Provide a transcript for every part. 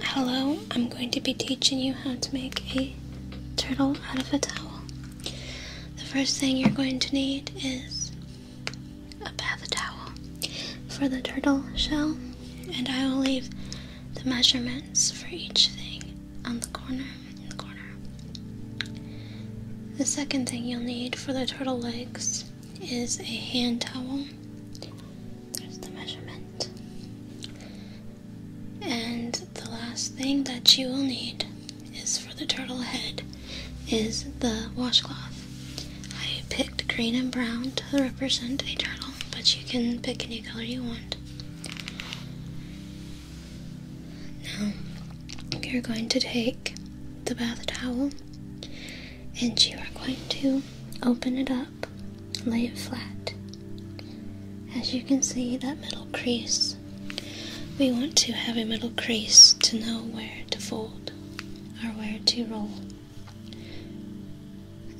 Hello, I'm going to be teaching you how to make a turtle out of a towel. The first thing you're going to need is a bath towel for the turtle shell, and I will leave the measurements for each thing on the corner The second thing you'll need for the turtle legs is a hand towel. There's the measurement. And the last thing that you will need is for the turtle head is the washcloth. I picked green and brown to represent a turtle, but you can pick any color you want. Now, you're going to take the bath towel and you are going to open it up, lay it flat. As you can see, that middle crease, we want to have a middle crease to know where to fold or where to roll.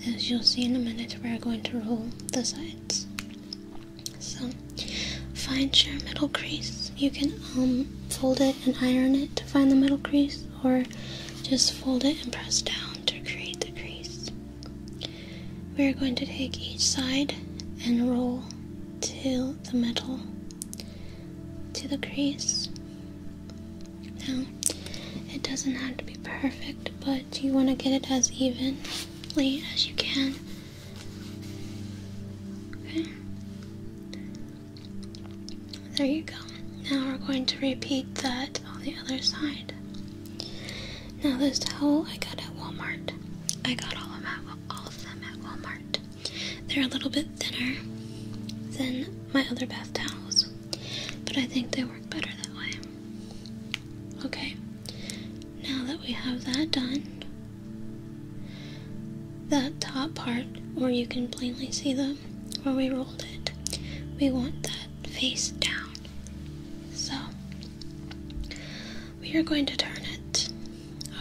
As you'll see in a minute, we're going to roll the sides. So, find your middle crease. You can um, fold it and iron it to find the middle crease or just fold it and press down to create the crease. We are going to take each side and roll to the middle to the crease. Now, it doesn't have to be perfect, but you want to get it as evenly as you can. There you go. Now we're going to repeat that on the other side. Now this towel I got at Walmart. I got all of them at, Walmart. They're a little bit thinner than my other bath towels, but I think they work better that way. Okay, now that we have that done, that top part where you can plainly see the where we rolled it, we want that face down. So we are going to turn it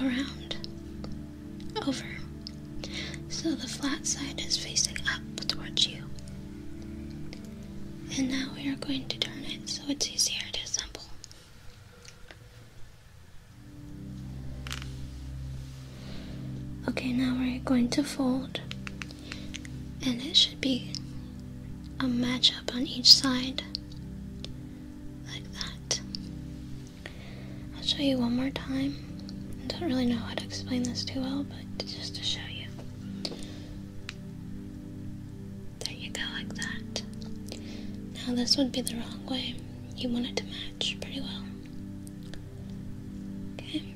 around over so the flat side is facing up towards you. And now we are going to turn it so it's easier to assemble. Okay, now we're going to fold, and it should be a match up on each side, like that. I'll show you one more time. I don't really know how to explain this too well, but just to show you. There you go, like that. Now, this would be the wrong way. You want it to match pretty well. Okay.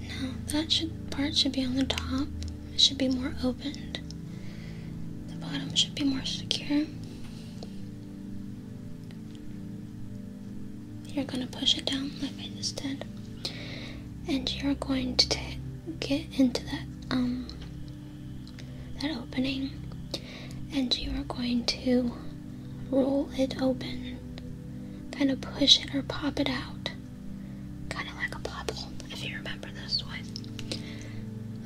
Now that should, part should be on the top. It should be more opened. The bottom should be more secure. You're going to push it down like I just did. And you're going to get into that um that opening and you are going to roll it open, kind of push it or pop it out, kind of like a bubble. if you remember this one.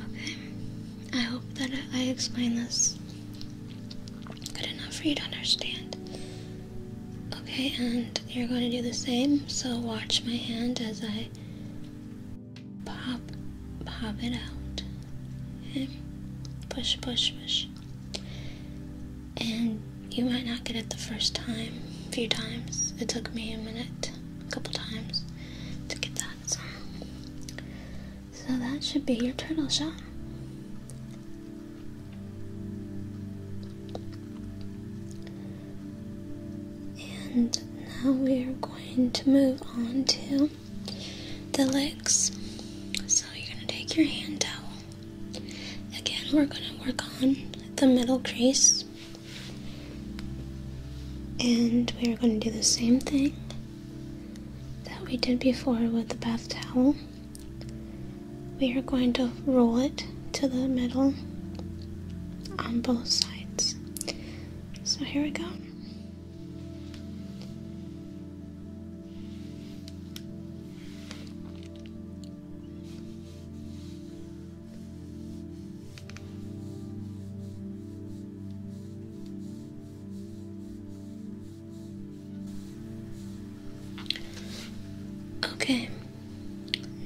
Okay, I hope that I explained this good enough for you to understand. Okay, and you're going to do the same, so watch my hand as I pop pop it out push push push and you might not get it the first time a few times it took me a minute a couple times to get that so that should be your turtle shot and now we are going to move on to the legs. So you're going to take your hand towel. Again, we're going to work on the middle crease. And we are going to do the same thing that we did before with the bath towel. We are going to roll it to the middle on both sides. So here we go. Okay,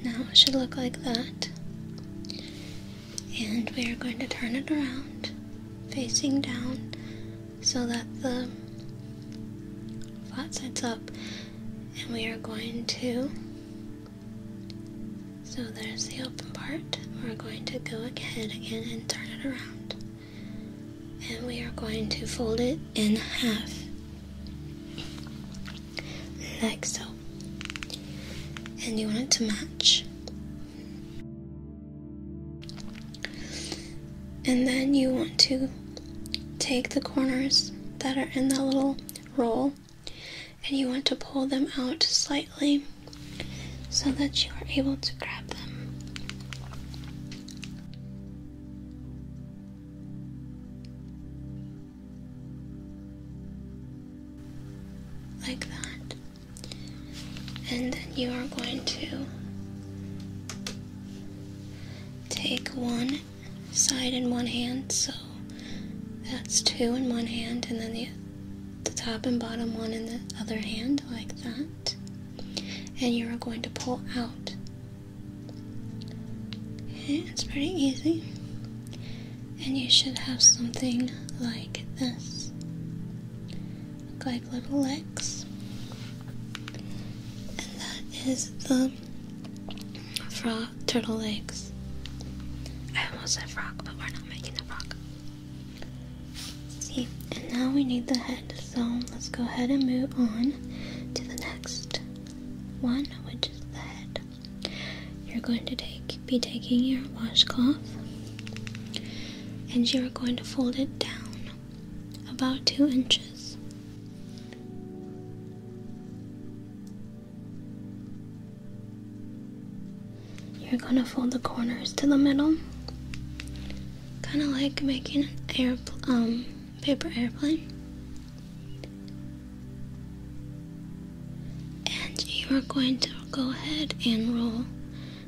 now it should look like that and we are going to turn it around facing down so that the flat sides up and we are going to so there's the open part we're going to go ahead again and turn it around and we are going to fold it in half like so and you want it to match and then you want to take the corners that are in the little roll and you want to pull them out slightly so that you are able to grab them like that. And then you are going to take one side in one hand, so that's two in one hand, and then the, the top and bottom one in the other hand, like that. And you are going to pull out. it's pretty easy and you should have something like this. Look like little legs. And that is the frog turtle legs. I almost said frog, but we're not making a frog. See, and now we need the head, so let's go ahead and move on to the next one, which is the head. You're going to take be taking your washcloth and you're going to fold it down about two inches. You're going to fold the corners to the middle, kind of like making an air, um, paper airplane. And you are going to go ahead and roll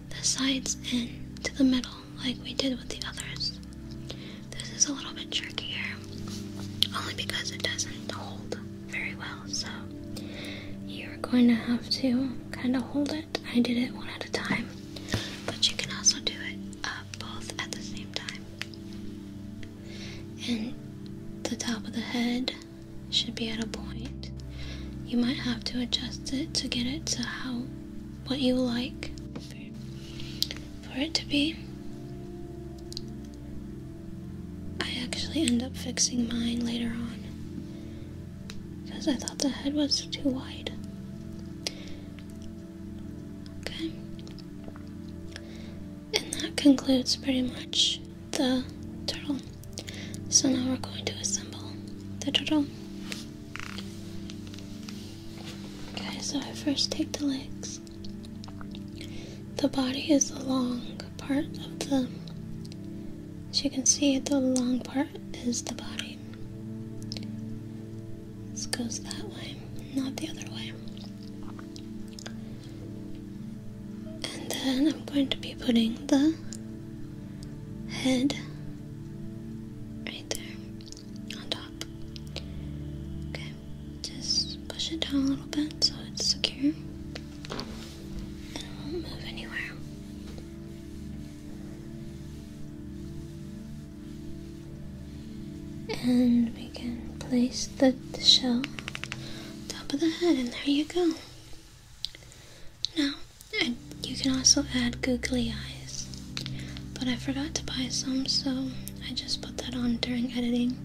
the sides in to the middle like we did with the others. This is a little bit trickier, only because it doesn't hold very well, so you're going to have to kind of hold it. I did it one at a time, but you can also do it uh, both at the same time and the top of the head should be at a point. You might have to adjust it to get it to how what you like for it to be. I actually end up fixing mine later on because I thought the head was too wide. Okay. And that concludes pretty much the turtle. So now we're going to assemble the turtle. Okay, so I first take the legs. The body is the long part of the. As you can see, the long part is the body. This goes that way, not the other way. And then I'm going to be putting the head right there on top. Okay, just push it down a little bit so it's secure and it won't move anywhere. And we can place the, shell top of the head, and there you go. Now, you can also add googly eyes, but I forgot to buy some, so I just put that on during editing.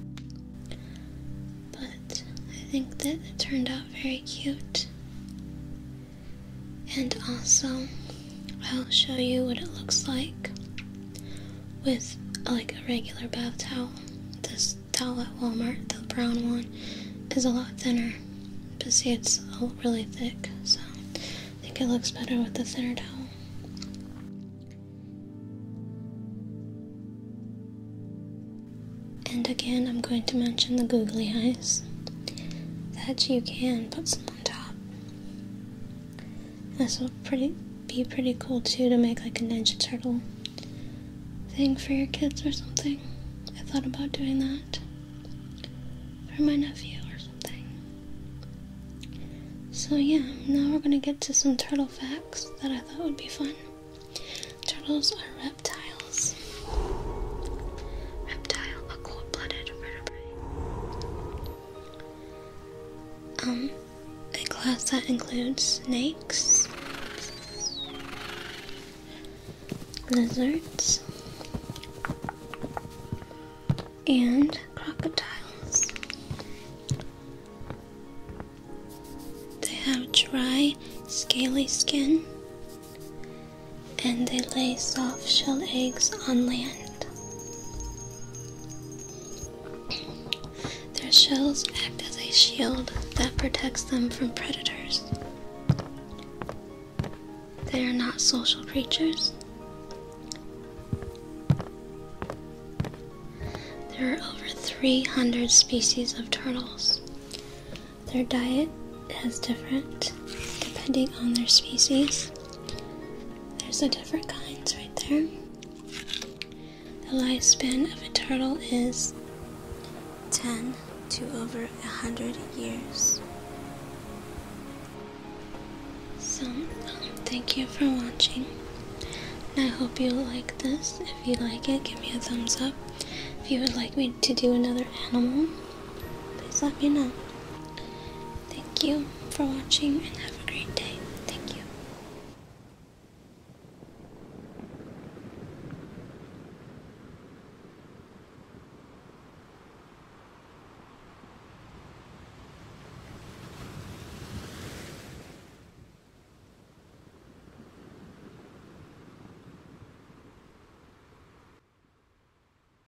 But I think that it turned out very cute. And also, I'll show you what it looks like with like a regular bath towel. This towel at Walmart, the brown one, is a lot thinner. But see, it's really thick, so I think it looks better with the thinner towel. And again, I'm going to mention the googly eyes that you can put some on top. This will pretty be pretty cool too to make like a Ninja Turtle thing for your kids or something. I thought about doing that for my nephew or something. So yeah, now we're gonna get to some turtle facts that I thought would be fun. Turtles are reptiles. Reptile, a cold-blooded vertebrate. Um, a class that includes snakes, lizards, and crocodiles. They have dry, scaly skin, and they lay soft shell eggs on land. Their shells act as a shield that protects them from predators. They are not social creatures. There are over 300 species of turtles. Their diet is different depending on their species. There's the different kinds right there. The lifespan of a turtle is 10 to over 100 years. So, um, thank you for watching. I hope you like this. If you like it, give me a thumbs up. If you would like me to do another animal, please let me know. Thank you for watching and have a great day. Thank you.